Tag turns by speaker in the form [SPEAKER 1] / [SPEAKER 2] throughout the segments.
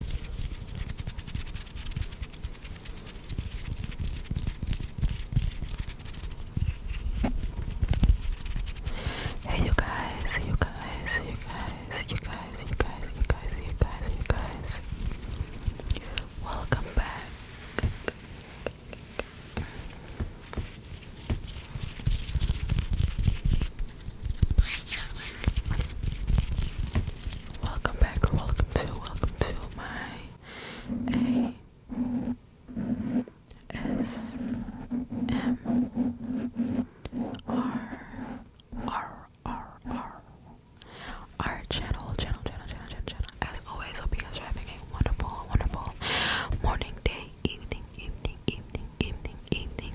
[SPEAKER 1] Hey you guys, you guys, you guys, you guys, you guys, you guys, you guys, you guys. Welcome back. Welcome back or welcome to welcome to my A S M R R R R channel, channel, channel, channel, channel, channel. As always, hope you guys are having a wonderful, wonderful morning, day, evening, evening, evening, evening, evening,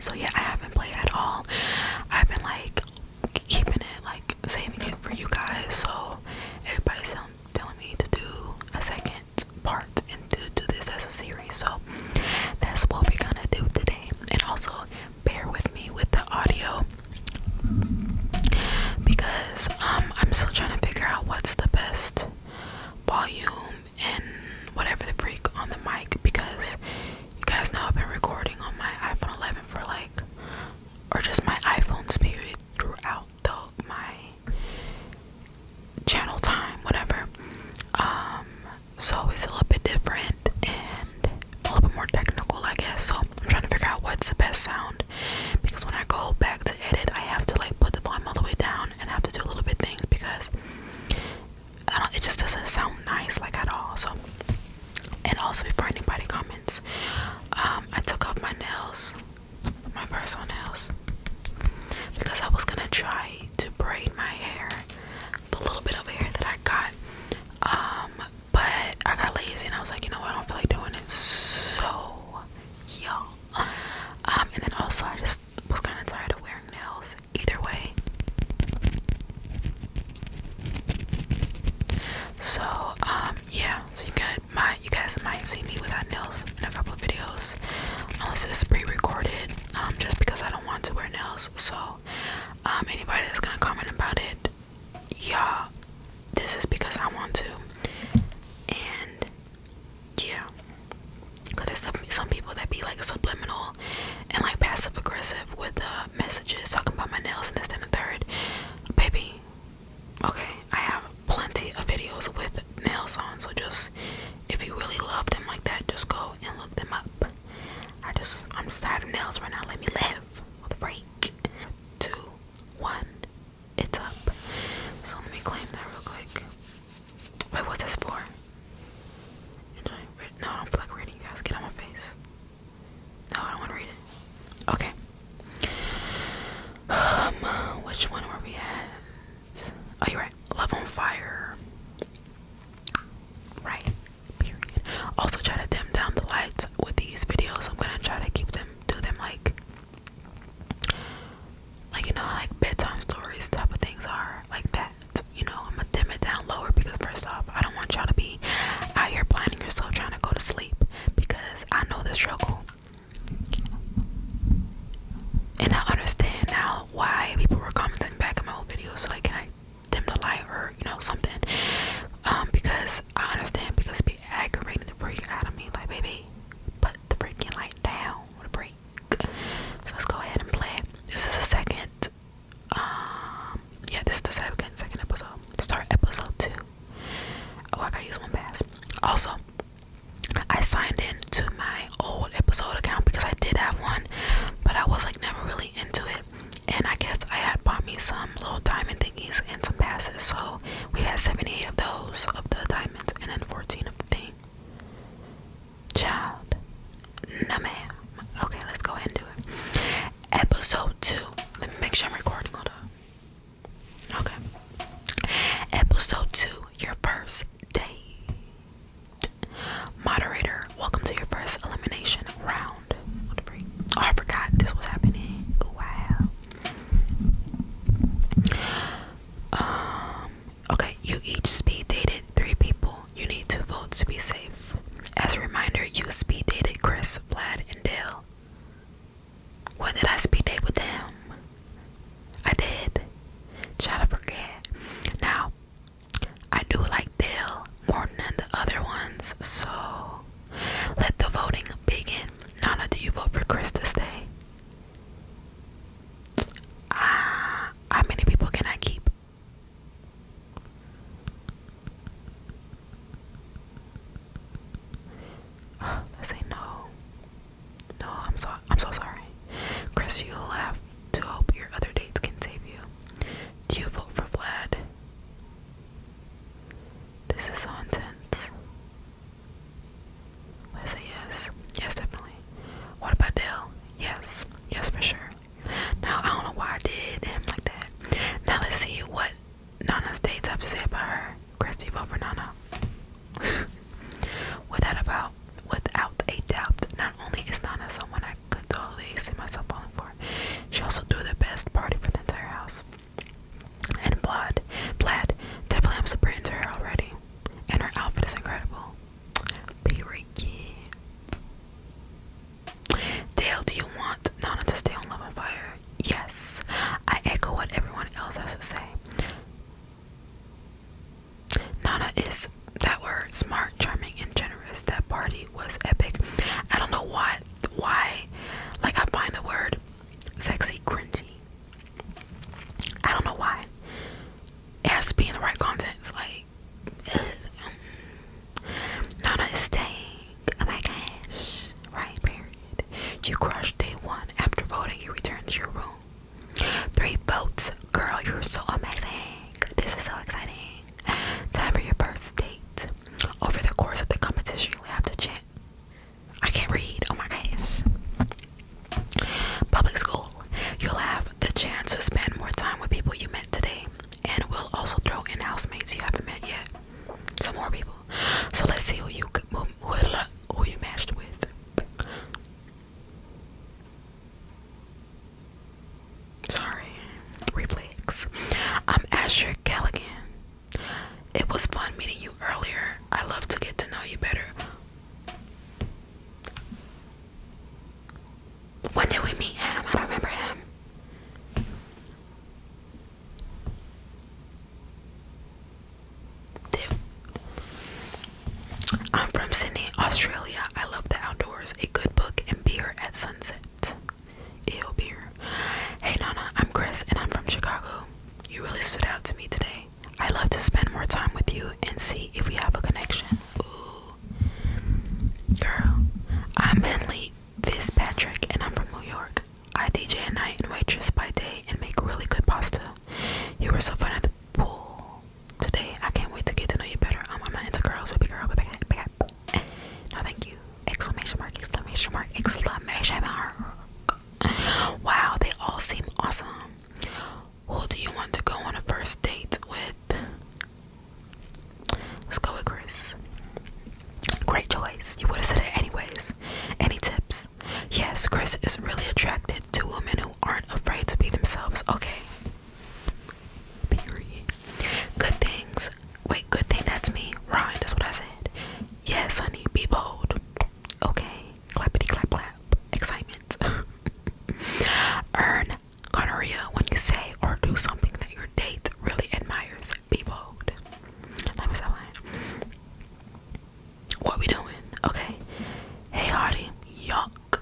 [SPEAKER 1] So yeah, I haven't played at all. I've been like keeping it, like saving it for you guys. So everybody's telling me to do a second part and to do this as a series. So that's what we're gonna do today. And also bear with me with the audio because um, I'm still trying to figure out what's the best volume and whatever the freak on the mic because you guys know I've been recording on my iPhone 11 for like, or just my iPhone's period throughout the my channel time, whatever. Um, so it's a little bit different and a little bit more technical, I guess. So I'm trying to figure out what's the best sound because when I go back to edit, I have to like put the volume all the way down and have to do a little bit things because it just doesn't sound nice like at all. So, and also before anybody comments, um, I took off my nails, my personal nails, because I was gonna try to braid my hair, the little bit of hair that I got. Um, but I got lazy and I was like, you know I don't feel like doing it. So, y'all. Um, and then also I just was kind of tired of wearing nails either way. So, um, yeah, so you got my you guys might see me without nails in a couple of videos. Unless it's pre-recorded, um, just because I don't want to wear nails. So, um anybody that's gonna comment about it, y'all, this is because I want to. And yeah. Cause there's some some people that be like subliminal and like passive aggressive with the messages talking about my nails and this and the third. Baby, okay, I have plenty of videos with nails on, so just if you really love them like that, just go and look them up. I just, I'm just tired of nails right now. Let me live with a break. Two, one, it's up. So let me claim that real quick. Wait, what's this for? I read no, I don't feel like you guys. Get out my face. No, I don't wanna read it. Okay. Um, which one were we at? Oh you right. Love on fire. Right. Period. Also try to dim down the lights with these videos. I'm gonna try to keep them do them like like you know like bedtime stories type of things are like that you know, I'm gonna dim it down lower because, first off, I don't want y'all to be out here blinding yourself trying to go to sleep because I know the struggle. And I understand now why people were commenting back in my old videos. like, can I dim the light or, you know, something? Um, because I understand because it be aggravating the freak out of me. Like, baby, put the freaking light down. What a break. So, let's go ahead and play. This is the second um, yeah, this is the second second episode. Start episode two. Oh, I gotta use one pass. Also, I signed in to my old episode account because I did have one, but I was like never really into it. And I guess I had bought me some little diamond thingies and some passes, so we had 78 of those of the diamonds and then 14 of the thing child. Nah, ma'am. Okay, let's go ahead and do it. Episode 2. Let me make sure I'm recording. Okay. Episode 2. Your first date. Moderator, welcome to your first elimination round. Oh, I forgot this was happening. Oh, wow. Um, okay, you each speed dated three people you need to vote to be safe. As a reminder, you speed dated Chris, Blad, and Dale. When did I speed date with them? I did. Try to forget. Now, I do like Dale more than the other ones, so let the voting begin. Nana, do you vote for Chris to stay? Ah, how many people can I keep? let say no. No, I'm so I'm so sorry. Chris, you'll have to hope your other dates can save you. Do you vote for Vlad? This is so intense. let say yes. Yes, definitely. What about Dale? Yes. Yes, for sure. Now I don't know why I did him like that. Now let's see what Nana States have to say about her. Christy voted for Nana. without about without a doubt, not only is Nana someone I could totally see myself falling for, she also threw the best party for the entire house. And blood, Blad, definitely i super into her already. And her outfit is incredible. Period. Dale, do you want Nana to stay on Love and Fire? Yes. I echo what everyone else has to say. Nana is that word smart, charming, and generous. That party was epic. I don't know why why like I find the word sexy cringy. I don't know why. It has to be in the right context, like not a staying. Oh my gosh. Right, period. You crushed day one. After voting, you return to your room. Three votes. Girl, you're so amazing. This is so exciting. Time for your first date. Over the course of the competition, you will have to chant. I can't read. Oh my gosh. Public school. You'll have the chance to spend more time with people you met today, and we'll also throw in housemates you haven't met yet. Some more people. So let's see who you who, who you matched with. Sorry, reflex. I'm Asher Callaghan. It was fun meeting you earlier. I love to get to know you better. When did we meet him? I don't remember him. I'm from Sydney, Australia. I love the outdoors, a good book, and beer at sunset. Ew, beer. Hey, Nana, I'm Chris, and I'm from Chicago. You really stood out to me today. I would love to spend more time with you and see if we have a connection. Girl, I'm Henley Fitzpatrick and I'm from New York. I DJ at night and waitress by day and make really good pasta. You were so fun at the pool today. I can't wait to get to know you better. I'm not into girls, baby girl, but back, back up. No, thank you. Exclamation mark, exclamation mark, exclamation mark. Wow, they all seem awesome. Who do you want to go on a first date with? Let's go with Chris. Great choice. You would have said it anyways. Any tips? Yes, Chris is really attracted to women who aren't afraid to be themselves. Okay. Period. Good things. Wait, good thing that's me. Ryan, that's what I said. Yes, honey, be bold. Okay. Clappity clap clap. Excitement. Earn Gonorrhea, when you say or do something that your date really admires, be bold. What we doing? Okay. Hey, Hardy. Yuck.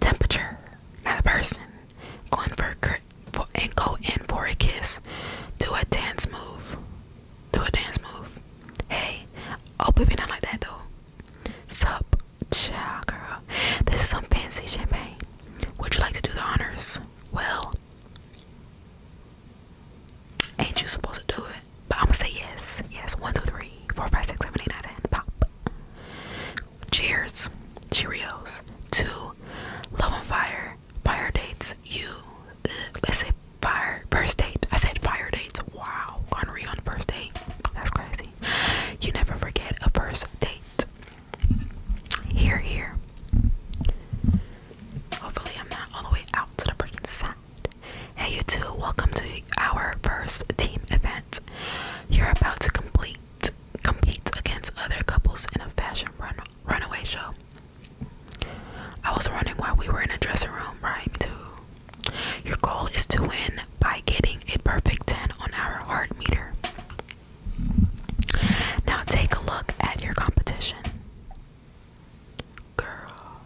[SPEAKER 1] Temperature. Not a person. Going for a for, and go in for a kiss. Do a dance move. Do a dance move. Hey. Oh, baby, not like that though. Sup. Ciao, This is some fancy champagne. Would you like to do the honors? Well, ain't you supposed to do it? But I'm gonna say yes. Yes. One, two, three, four, five, six, seven, eight, nine, ten. Pop. Cheers. Cheerios. Two. Love on fire. Fire dates. You. Uh, let's say fire. First date. I said fire dates. Wow. Honoree on the first date. That's crazy. You never forget a first date here, here. Hopefully, I'm not all the way out to the person's side. Hey, you two, welcome to our first team event. You're about to complete compete against other couples in a fashion run runaway show. I was running while we were in a dressing room, right? Too. Your goal is to win by getting a perfect 10 on our heart meter. Now take a look at your competition. Girl.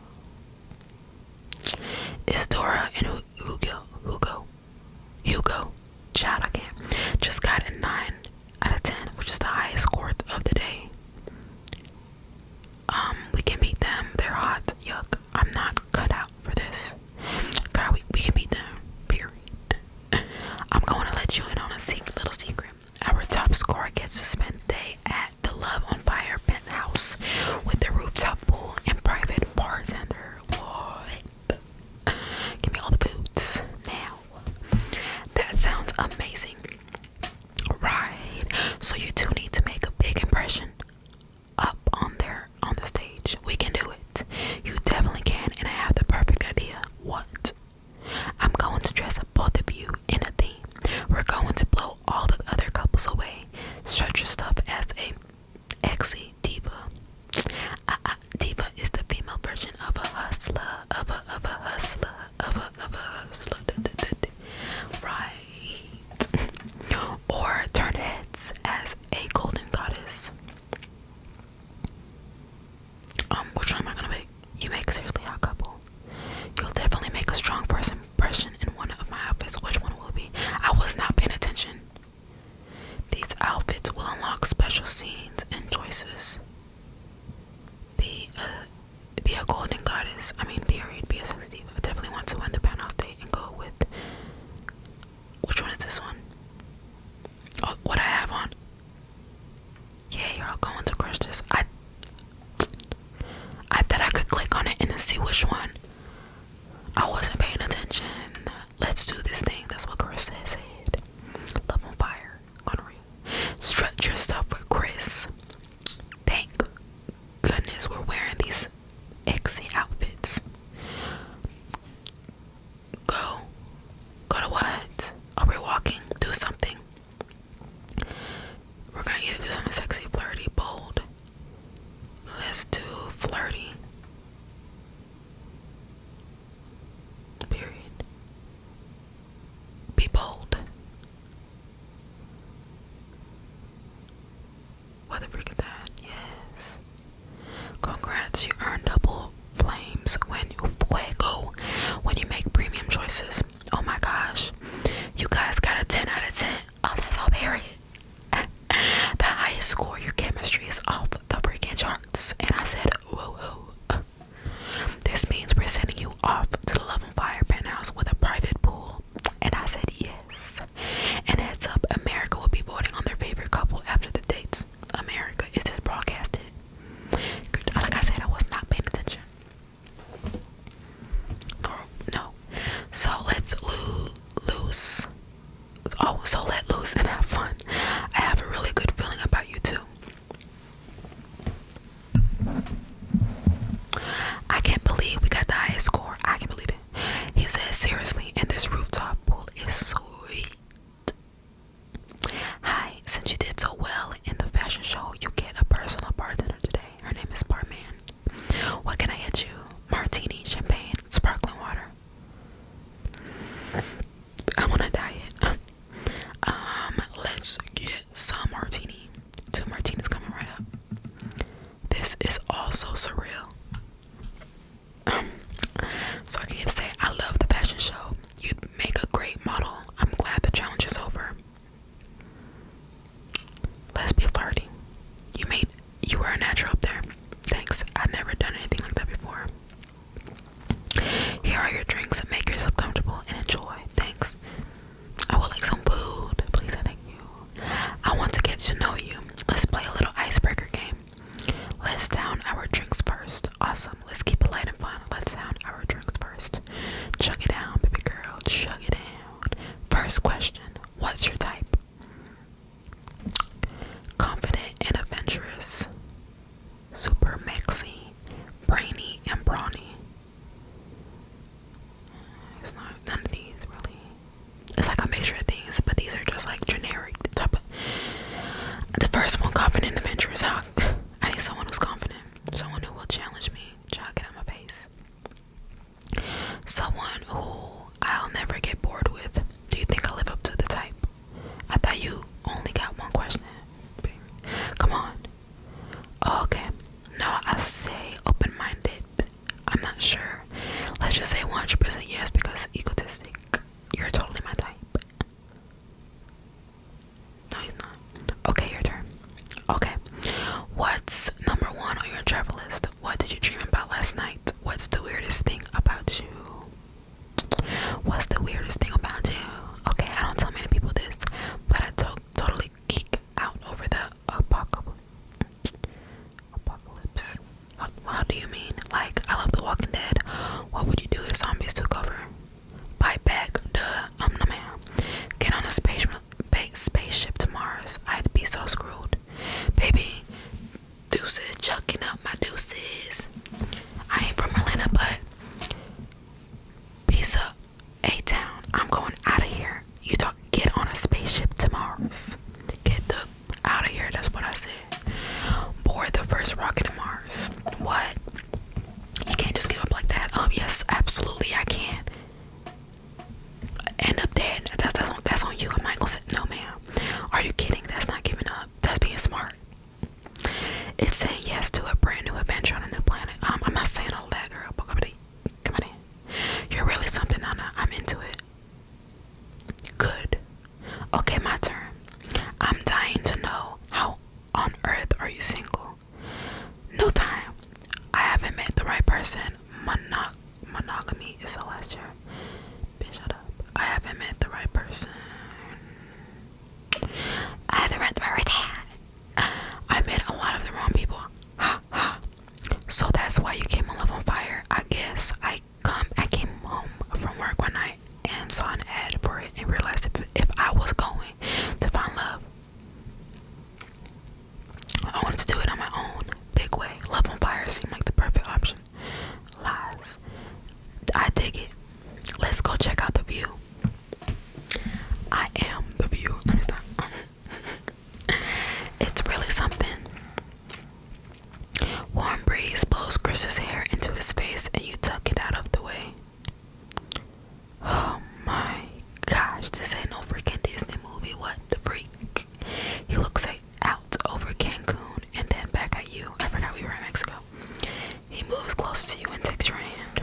[SPEAKER 1] It's Dora and Hugo. Hugo. Hugo. Child, Just got a 9 out of 10, which is the highest score of the day. Um, we can meet them. They're hot. Yuck. I'm not cut out for this. God, we, we can beat them, period. I'm going to let you in on a secret, little secret. Our top scorer gets to spend the day at the Love on Fire penthouse with the rooftop pool and private bartender. What? Give me all the foods now. That sounds amazing. Right. So you two need to make a big impression up on their on the stage. We can do it. You definitely can, and I have the perfect idea. What? I'm going to dress up both of you in a theme. We're going to blow all the other couples away. Stretch your stuff as a exy diva. Uh, uh, diva is the female version of a hustler, of a of a hustler, of a of a hustler. Right. or turn heads as a golden goddess. Um, which one am I gonna make? You make seriously hot couple. You'll definitely make a strong first impression in one of my outfits. Which one will be? I was not paying attention. These outfits will unlock special scenes and choices. Be a be a golden goddess. I mean, period. Be a sexy diva. I definitely want to win the penthouse date and go with which one is this one? Oh, what I have on? Yeah, y'all going to crush this. I I thought I could click on it and then see which one. I wasn't paying attention. Let's do this thing. That's what Chris said. Love on fire. Honorary. Stretch your stuff with Chris. Thank goodness we're wearing these XC outfits go go to what are we walking do something we're gonna either do something sexy flirty bold let's do flirty period be bold what the freak is that? Yes. Congrats, you earned double flames when you fuego when you make premium choices. Oh my gosh. You guys got a 10 out of 10 Oh, that's all period. the highest score, your chemistry is off the freaking charts. And I said, whoa, This means we're sending you off to the Love and Fire penthouse with a private pool. And I said, yes. And heads up, America will be voting on their favorite couple after the dates. America, is this broadcasted? Like I said, I was not paying attention. no. So let's loo loose. Oh, so let loose and have fun. I have a really good feeling about you too. I can't believe we got the highest score. I can believe he said, seriously, and this rooftop pool is sweet. Hi, since you did so well in the fashion show, you get a personal bartender today. Her name is Barman. What can I get you? Martini, champagne, sparkling water. I'm on a diet. Um, let's get some martini. Two martinis coming right up. This is also surreal so I can say I love the fashion show. You'd make a great model. I'm glad the challenge is over. Let's be flirty. You made you were a natural up there. Thanks. I've never done anything like that before. Here are your drinks. Make yourself comfortable and enjoy. Thanks. I would like some food, please. thank you. I want to get to know you. Let's play a little icebreaker game. Let's down our drinks first. Awesome. Let's keep it light and fun. Let's down our drinks first. Chug it down, baby girl. Chug it down. First question What's your type? Confident and adventurous. Super Mexi. Brainy and brawny. It's not none of these really it's like a mixture of things, but these are just like generic type of the first one confident in the venture is how I, need someone who's confident. Someone who will challenge me, try to get out my pace. Someone who I'll never get bored with. Do you think I live up to the type? I thought you only got one question. Baby. Come on. okay. No, I say open minded. I'm not sure. Let's just say 100% yes because egotistic. You're totally my type. No, he's not. Okay, your turn. Okay. What's number one on your travel list? What did you dream about last night? What's the weirdest thing about you? What's the weirdest thing about you? Okay, I don't tell many people this, but I totally geek out over the apocalypse. Apocalypse. How, do you mean? Like, I love The Walking Dead. What would you do if zombies took over? Bite back, duh. I'm the man. Get on a space, spaceship to Mars. I'd be so screwed. Baby, deuces, chucking up my deuces. I ain't from Atlanta, but piece of A-Town. I'm going out of here. You talk, get on a spaceship to Mars. Get the out of here. That's what I said. Board the first rocket to Mars. What? You can't just give up like that. Um, yes, absolutely, I can. not End up dead. That, that's on that's on you. And Michael said, "No, ma'am. Are you kidding? That's not giving up. That's being smart. It's saying yes to a brand new adventure on a new planet. Um, I'm not saying all that, girl. But come on, in. on in. You're really something, Nana. I'm into it. Good. Okay, my turn. I'm dying to know how on earth are you single? No time. I haven't met the right person. Monog monogamy is the last year. Bitch, shut up. I haven't met the right person. I haven't met the right person. I met a lot of the wrong people. Ha ha. So that's why you came alive on Fire. I guess. I come I came home from work one night and saw an ad for it and realized if, I was going to find love, I wanted to do it on my own, big way. Love on fire seemed like the perfect option. Lies. I dig it. Let's go check out the view. I am the view. Let me stop. it's really something. Warm breeze blows Chris's hair into his face and you tuck it out of the way. Oh my gosh, this ain't no freaking Disney movie. What the freak? He looks like out over Cancun and then back at you. I forgot we were in Mexico. He moves close to you and takes your hand.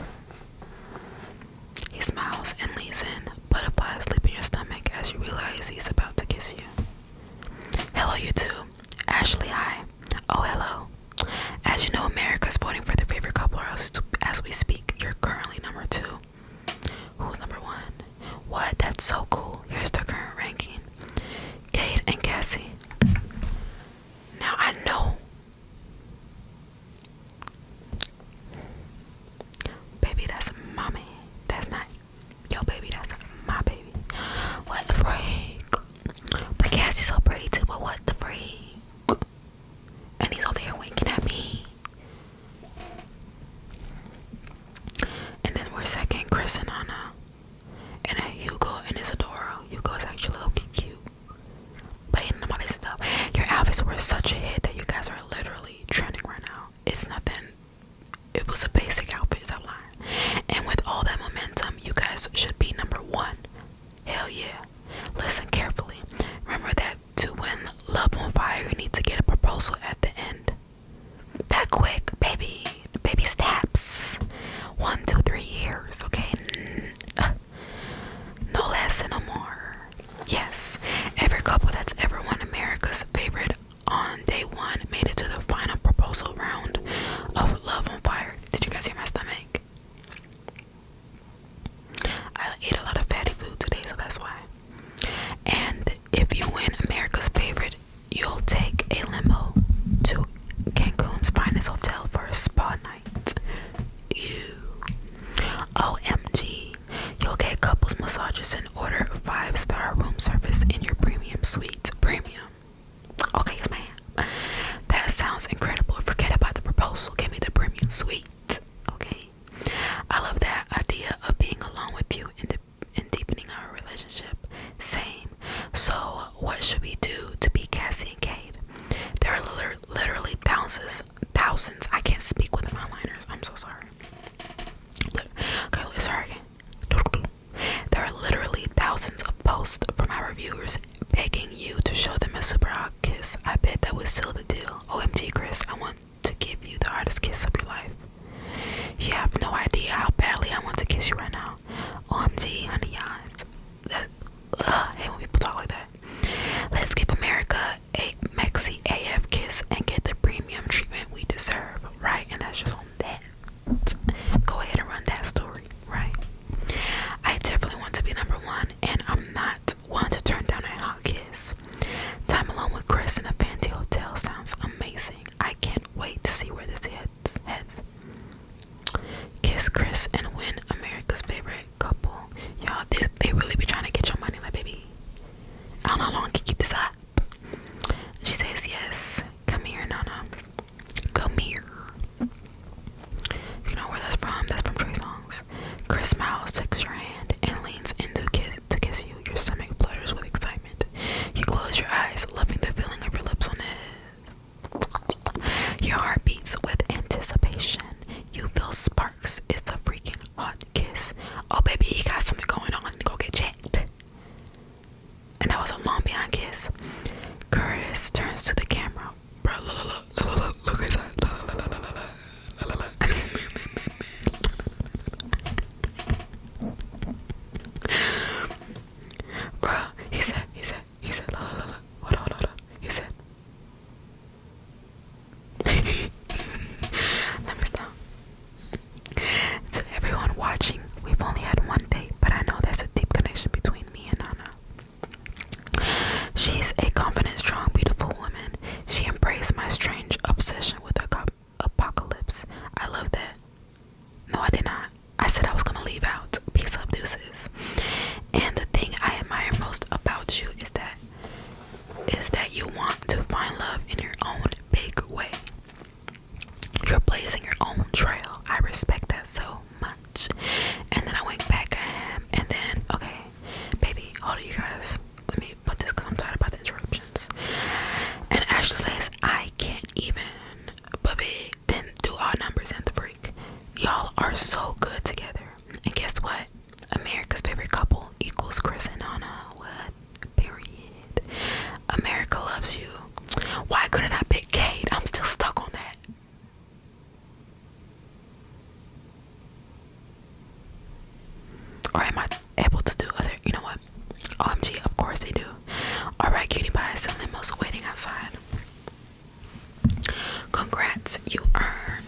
[SPEAKER 1] He smiles and leans in. Butterflies leaping in your stomach as you realize he's about to kiss you. Hello, you two. Ashley, hi. Oh, hello. As you know, America's voting for their favorite couple as we speak. You're currently number two. Who's number one? What? That's so cool. Here's the current ranking Kate and Cassie. Now I know. Baby, that's mommy. That's not Yo, baby, that's my baby. What the freak? But Cassie's so pretty too, but what the freak? And he's over here winking at me. And then we're second, Chris and Anna. And then Hugo and Isadora. Hugo is actually looking cute. But he my business though. Your outfits were such a hit that you guys are literally trending right now. It's nothing it was a basic outfit, so i And with all that momentum, you guys should be number one. Hell yeah. Listen carefully. Remember that to win love on fire, you need to get a proposal at the end. That quick, baby, baby steps. One, two, three years, okay? Uh, no less and no more. Yes, every couple that's ever won America's favorite on day one made it to the final proposal round of Love on Fire. Did you guys hear my stomach? I ate a lot of fatty food today, so that's why. And if you win America's favorite, you'll take a limo to Cancun's finest hotel for a spa night. Ew. OMG. You'll get couples massages and order five star room service in your premium suite premium. Okay, That sounds incredible. Forget about the proposal. Give me the premium suite. Okay. I love that idea of being alone with you and, deepening our relationship. Same. So, what should we do to be Cassie and Kate? There are literally thousands, thousands. I can't speak with my liners. I'm so sorry. Okay, let's start again. There are literally thousands of posts from our viewers begging you to show them a super hot kiss. I bet that was still the deal. OMG, Chris, I want to give you the hardest kiss of your life. You have no idea how badly I want to kiss you right now. OMG, honey, yawns. That, ugh, hate when people talk like that. Let's give America a Mexi AF kiss and get the premium treatment we deserve, right? And that's just Go ahead and run that story, right? I definitely want to be number one, and I'm not one to turn down a hot kiss. Time alone with Chris in a fancy hotel sounds amazing. I can't wait to see where this heads. heads. Kiss Chris and win America's favorite couple. Y'all, they, really be trying to get your money, like baby. I don't know how long can keep this up. She says, Yes, come here, Nana. Come here. you know where that's from, that's from Trey Songs. Chris smiles, takes your hand and leans in to kiss, to kiss you. Your stomach flutters with excitement. You close your eyes, loving the feeling of your lips on his. Your heart beats with anticipation. You feel sparks. It's a freaking hot kiss. Oh, baby, he got something going on. Go get checked and that was a long beyond kiss. Curtis turns to the camera. Bro, look at he said, he said, he said, He said. Let me stop. To everyone watching, we've only had one date, but I know there's a deep connection between me and Anna. She's a confident, strong, beautiful woman. She embraced my strange obsession with apocalypse. I love that. No, I did not. I said I was gonna leave out. Peace up, deuces. And the thing I admire most about you is that is that you want to find love in your own big way you're blazing your own trail. I respect that so much. And then I went back at him, and then okay, baby, all of you guys. Let me put this because I'm tired about the interruptions. And Ashley says, I can't even, baby. then do all numbers and the break. Y'all are so good together. And guess what? America's favorite couple equals Chris and Anna. What? Period. America loves you. Why couldn't I pick Kate? I'm still stuck on that. Or am I able to do other? You know what? OMG, of course they do. Alright, cutie pie, some limos waiting outside. Congrats, you earn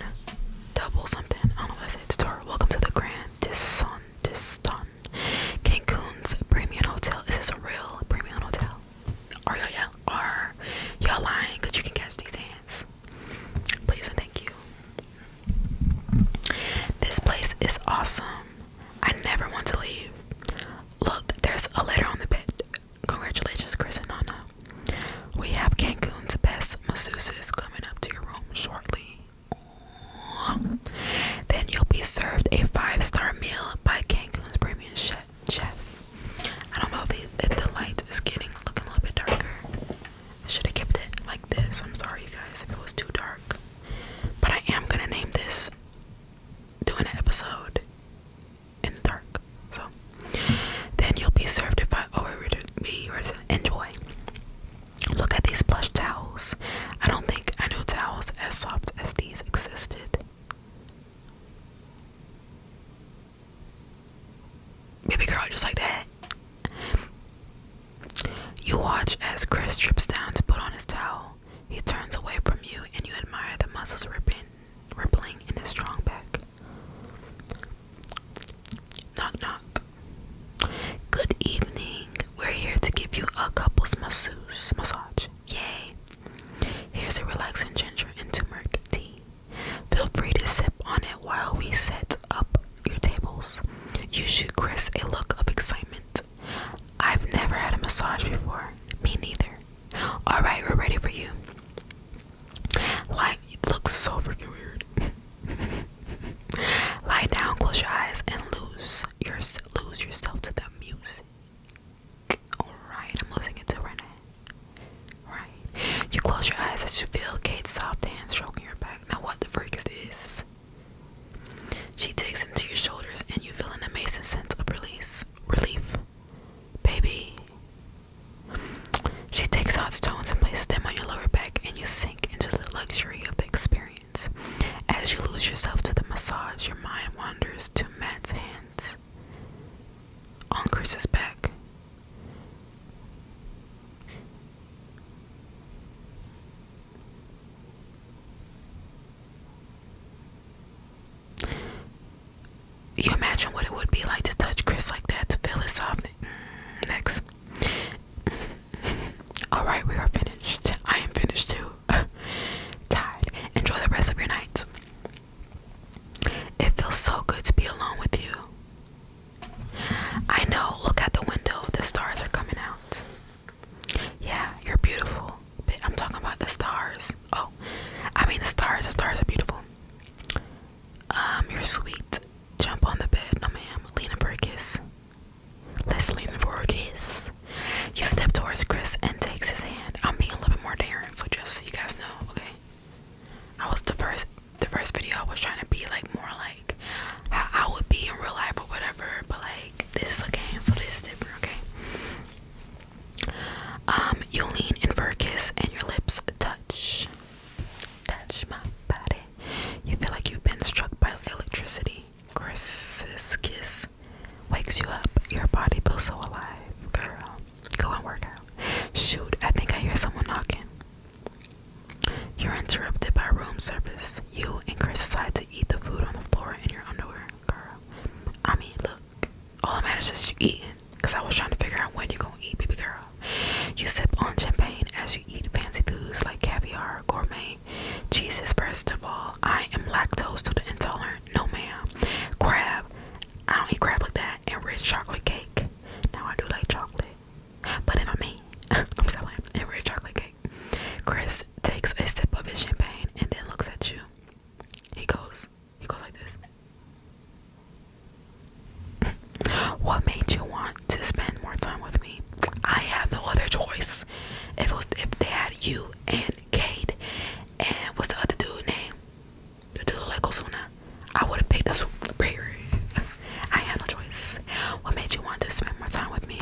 [SPEAKER 1] double something. I don't know what I said. Tutorial. Welcome to the grand disson disson um, Cancun's premium hotel. Is this a real premium hotel? Are y'all are y'all lying? Cause you can catch these hands. Please and thank you. This place is awesome. I never want to leave. Look, there's a letter on the bed. Congratulations, Chris and Nana. We have Cancun's best masseuses coming up to your room shortly. Then you'll be served a five-star meal by Cancun's premium chef. I don't know if the, light is getting looking a little bit darker. should have kept it like this. I'm sorry, you guys, if it was too dark. But I am gonna name this doing an episode in the dark. So then you'll be served if oh, we enjoy. Look at these plush towels. I don't think I know towels as soft as these existed. Baby girl, just like that. You watch as Chris trips down to put on his towel. He turns away from you, and you admire the muscles ripping, rippling in his strong back. Knock, knock. Good evening. We're here to give you a couple's masseuse massage. Yay! Here's a relaxing ginger and turmeric tea. Feel free to sip on it while we set up your tables. You should Chris a look of excitement. I've never had a massage before. Me neither. Alright, we're ready for you. Like it looks so freaking weird. Lie down, close your eyes, and lose lose your lose yourself to the music. Alright, I'm losing to Renee. Right. You close your eyes as you feel Kate's soft hands stroking your back. Now what the freak is this? She takes into your shoulders and you feel an amazing sense of release. Relief. Baby. She takes hot stones and places them on your lower back and you sink into the luxury of the experience. As you lose yourself to the massage, your mind wanders to Matt's hands on Chris's back. You imagine what it would be like to touch Chris like that, to feel his soft mm, next. All right, we are finished. I am finished too. Tired. Enjoy the rest of your night. It feels so good to be alone with you. I know. Look at the window. The stars are coming out. Yeah, you're beautiful. I'm talking about the stars. Oh, I mean the stars. The stars are beautiful. Um, you're sweet. Jump on the bed. No, ma'am. Lean in Let's lean for kiss. You step towards Chris and takes his hand. I'm being a little bit more daring, so just so you guys know, okay? I was the first the first video I was trying to be like more like how I would be in real life or whatever, but like this is a game, so this is different, okay? Um, you lean in for kiss and your lips touch. Touch my body. You feel like you've been struck by electricity. Crisis wakes you up. Your body feels so alive, girl. Go and work out. Shoot, I think I hear someone knocking. You're interrupted by room service. You and Chris decide to eat the food on the floor in your underwear, girl. I mean, look, all that matters is you eating. Cause I was trying to figure out when you're gonna eat, baby girl. You sip on champagne as you eat fancy foods like caviar, gourmet Jesus, first of all, I am lactose intolerant. No, ma'am. Crab. I don't eat crab like that. And rich chocolate cake. Now I do like chocolate. But in not me. I'm selling and rich chocolate cake. Chris takes a sip of his champagne and then looks at you. He goes, he goes like this. what made you want to spend more time with me? I have no other choice was if it was if they had you and Kate and what's the other dude name? The dude like Osuna. I would have picked a prayer. I had no choice. What made you want to spend more time with me?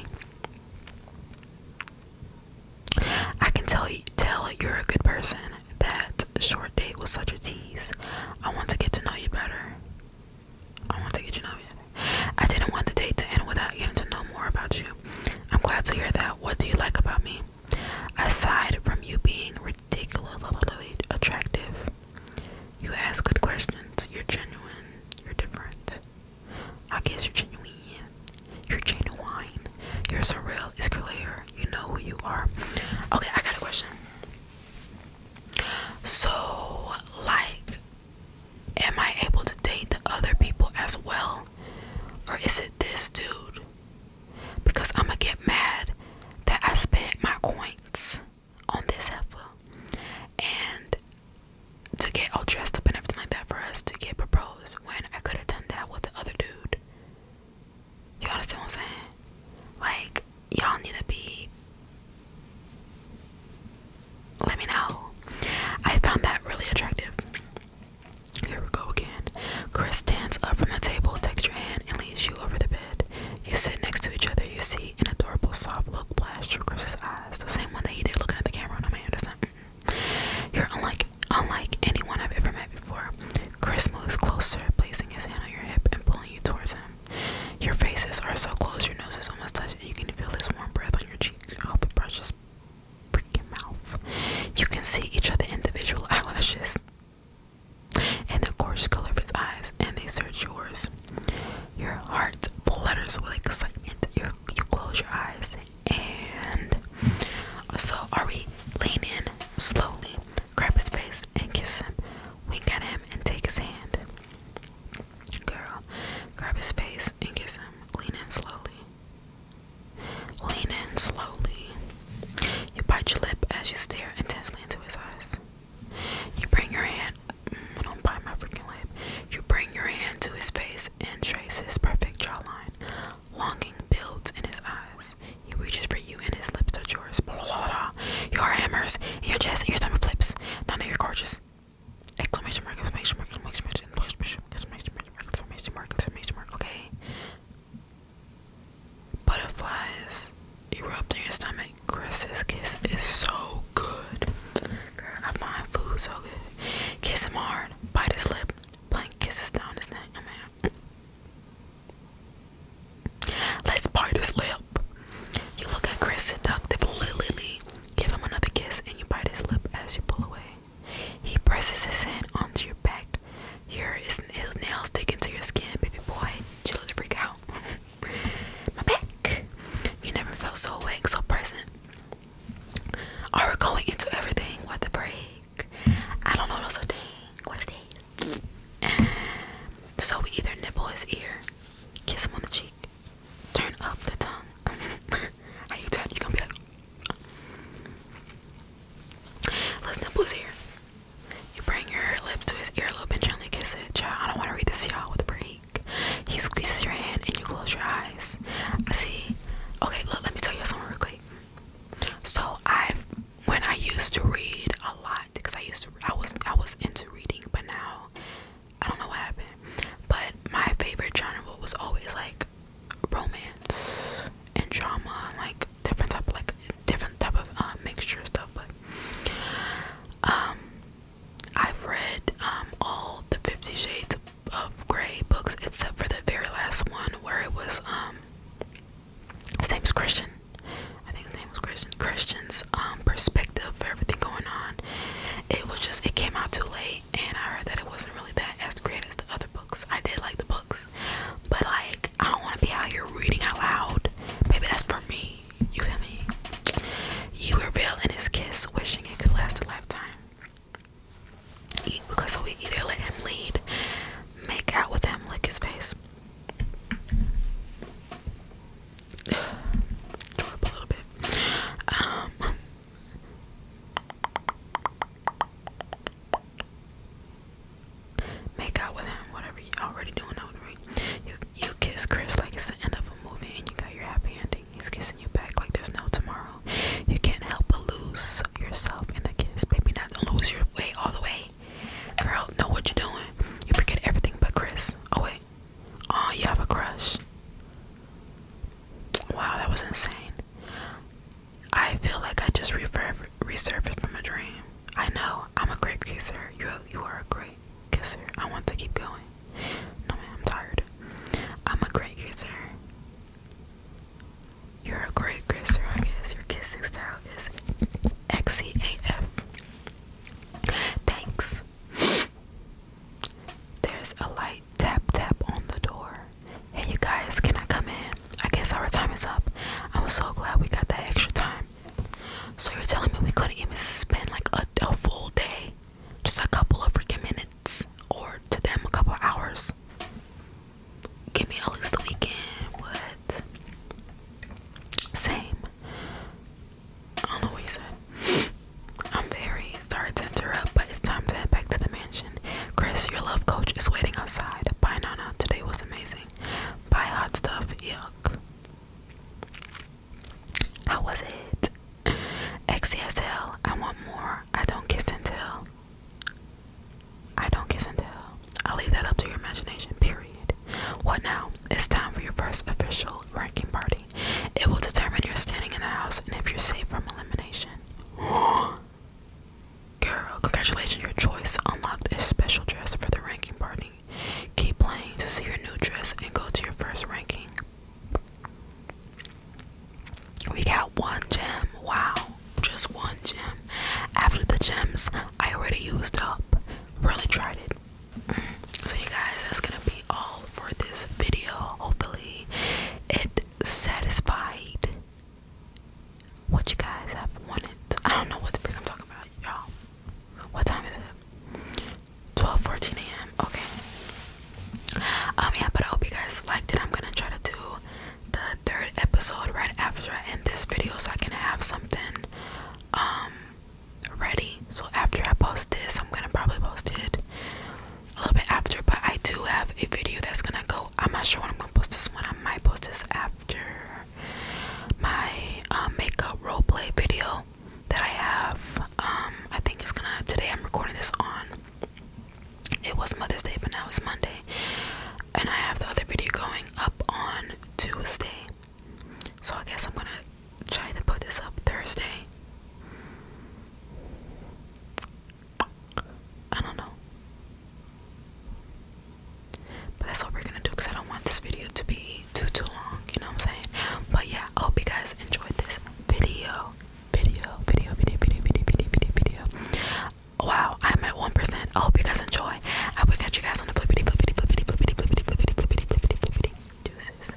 [SPEAKER 1] I can tell you tell you're a good person. That short date was such a tease. I want to get to know you better. I want to get to know you. I didn't want the date to end without getting to know more about you. I'm glad to hear that. What do you like about me? Aside from you being ridiculously attractive, you ask good questions. You're genuine. You're different. I guess you're genuine. You're genuine. You're surreal. It's clear. You know who you are. Okay, I got a question. So, like, Am I able to date the other people as well? Or is it this dude? Because I'm gonna get mad that I spent my coins on this heifer and to get all dressed up and everything like that for us to get proposed when I could have done that with the other dude. You understand what I'm saying? Like, y'all need to be let me know. I found that really attractive. Here we go again. Chris stands up from the table, takes your hand, and leads you over the bed. You sit next to each other. You see an adorable, soft look flash through Chris's eyes, the same one that he did looking at the camera. No man, doesn't. You're unlike unlike anyone I've ever met before. Chris moves closer, placing his hand on your hip and pulling you towards him. Your faces are so close, your nose is almost touching, you can feel his warm breath on your cheek. Oh, hope it brushes freaking mouth. You can see each of the individual eyelashes and the gorgeous color of his eyes, and they search yours. Your heart flutters with excitement. You're, you close your eyes, and so are we? Lean in slowly, grab his face, and kiss him. Wink at him and take his hand. Girl, grab his face and kiss him. Lean in slowly. Lean in slowly. You bite your lip as you stare intensely into his eyes. You bring your hand. Mm, don't bite my freaking lip. You bring your hand to his face and trace his perfect jawline. Longing builds in his eyes. He reaches for you and his lips touch yours. Blah, blah, blah, blah. Your hammers, your chest, your stomach flips. None of your gorgeous. Exclamation mark, exclamation mark, exclamation mark, exclamation mark, exclamation mark, exclamation mark, exclamation mark, okay? Butterflies erupt in your stomach. Chris's kiss is so good. Girl, I find food so good. Kiss him hard, bite his lip, blank kisses down his neck. I mean, Let's bite his lip. You look at Chris seductively, Give him another kiss and you bite his lip as you pull away. He presses his hand onto your back. Your his nails dig into your skin, baby boy. She let freak out. My back. You never felt so awake, so present. Are we going into everything? What the break? I don't know. There's a thing. What is this? So we either nibble his ear, kiss him on the cheek, turn up the tongue. How you turn? You gonna be like, let's nipples here. You bring your lips to his earlobe and gently kiss it. Child, I don't want to read this y'all with a break. He squeezes your hand and you close your eyes. I see. Okay, look, let me tell you something real quick. So I've when I used to read a lot because I used to I was I was into reading, but now I don't know what happened, but my favorite genre was always like romance and drama, like different type of like different type of uh, mixture stuff. But um, I've read um all the Fifty Shades of Grey books except for the very last one where it was um his name is Christian. I think his name was Christian. Christian's um perspective for everything going on. It was just it came out too late, and I heard that it was really that as great as the other books. I did like the books, but like I don't want to be out here reading out loud. Maybe that's for me. You feel me? You reveal in his kiss, wishing it could last a lifetime. because so we either let him lead, make out with him, lick his face. up a little bit. Um, Make out with him, whatever you already doing You you kiss Chris like it's the end of a movie and you got your happy ending. He's kissing you back like there's no tomorrow. You can't help but lose yourself in the kiss. Baby, not lose your way all the way. Girl, know what you're doing. You forget everything but Chris. Oh wait. Oh, you have a crush. Wow, that was insane. I feel like I just resurfaced from a dream. I know I'm a great kisser. You you are a great kisser. I want to keep going. No man, I'm tired. I'm a great kisser. You're a great kisser. I guess your kissing style is XCAF. Thanks. There's a light tap tap on the door. Hey, you guys, can I come in? I guess our time is up. I'm so glad we got that extra time. So, you're telling me we couldn't even spend like a, full day? Just a couple of freaking minutes, or to them, a couple of hours? Give me at least the weekend. What? Same. I don't know what you said. I'm very sorry to interrupt, but it's time to head back to the mansion. Chris, your love coach is waiting outside. Bye, Nana. Today was amazing. Bye, hot stuff. Yuck. How was it? XCSL. I want more. I don't kiss and tell. I don't kiss and tell. i leave that up to your imagination, period. What now? It's time for your first official ranking party it will determine your standing in the house and if you're safe from elimination. Girl, congratulations! Your choice unlocked a special dress for the ranking party. Keep playing to see your new dress and go to your first ranking. We got one gem. Wow, just one gem. After the gems I already used up, really tried it. Mm. So, you guys, that's gonna be all for this video. Hopefully, it satisfied what you guys have wanted. I don't know what the I'm talking about, y'all. What time is it? 12 14 a.m. Okay. Um, yeah, but I hope you guys liked it. I'm gonna try to do the third episode right after I end this video so I can have something um ready. So after I post this, I'm gonna probably post it a little bit after, but I do have a video that's gonna go. I'm not sure when I'm gonna post this one. I might post this after my um, makeup role play video that I have. Um, I think it's gonna today. I'm recording this on. It was Mother's Day, but now it's Monday, and I have the other video going up on Tuesday. So I guess I'm gonna try to put this up Thursday. I don't know. But that's what we're gonna do because I don't want this video to be too too long, you know what I'm saying? But yeah, hope you guys enjoyed this video. Video, video, video, video, video, video, video, video. Wow, I'm at 1%. hope you guys enjoy. I will catch you guys on the flippity flippity flippity flippity flippity flippity flippity flippity flippity flippity deuces.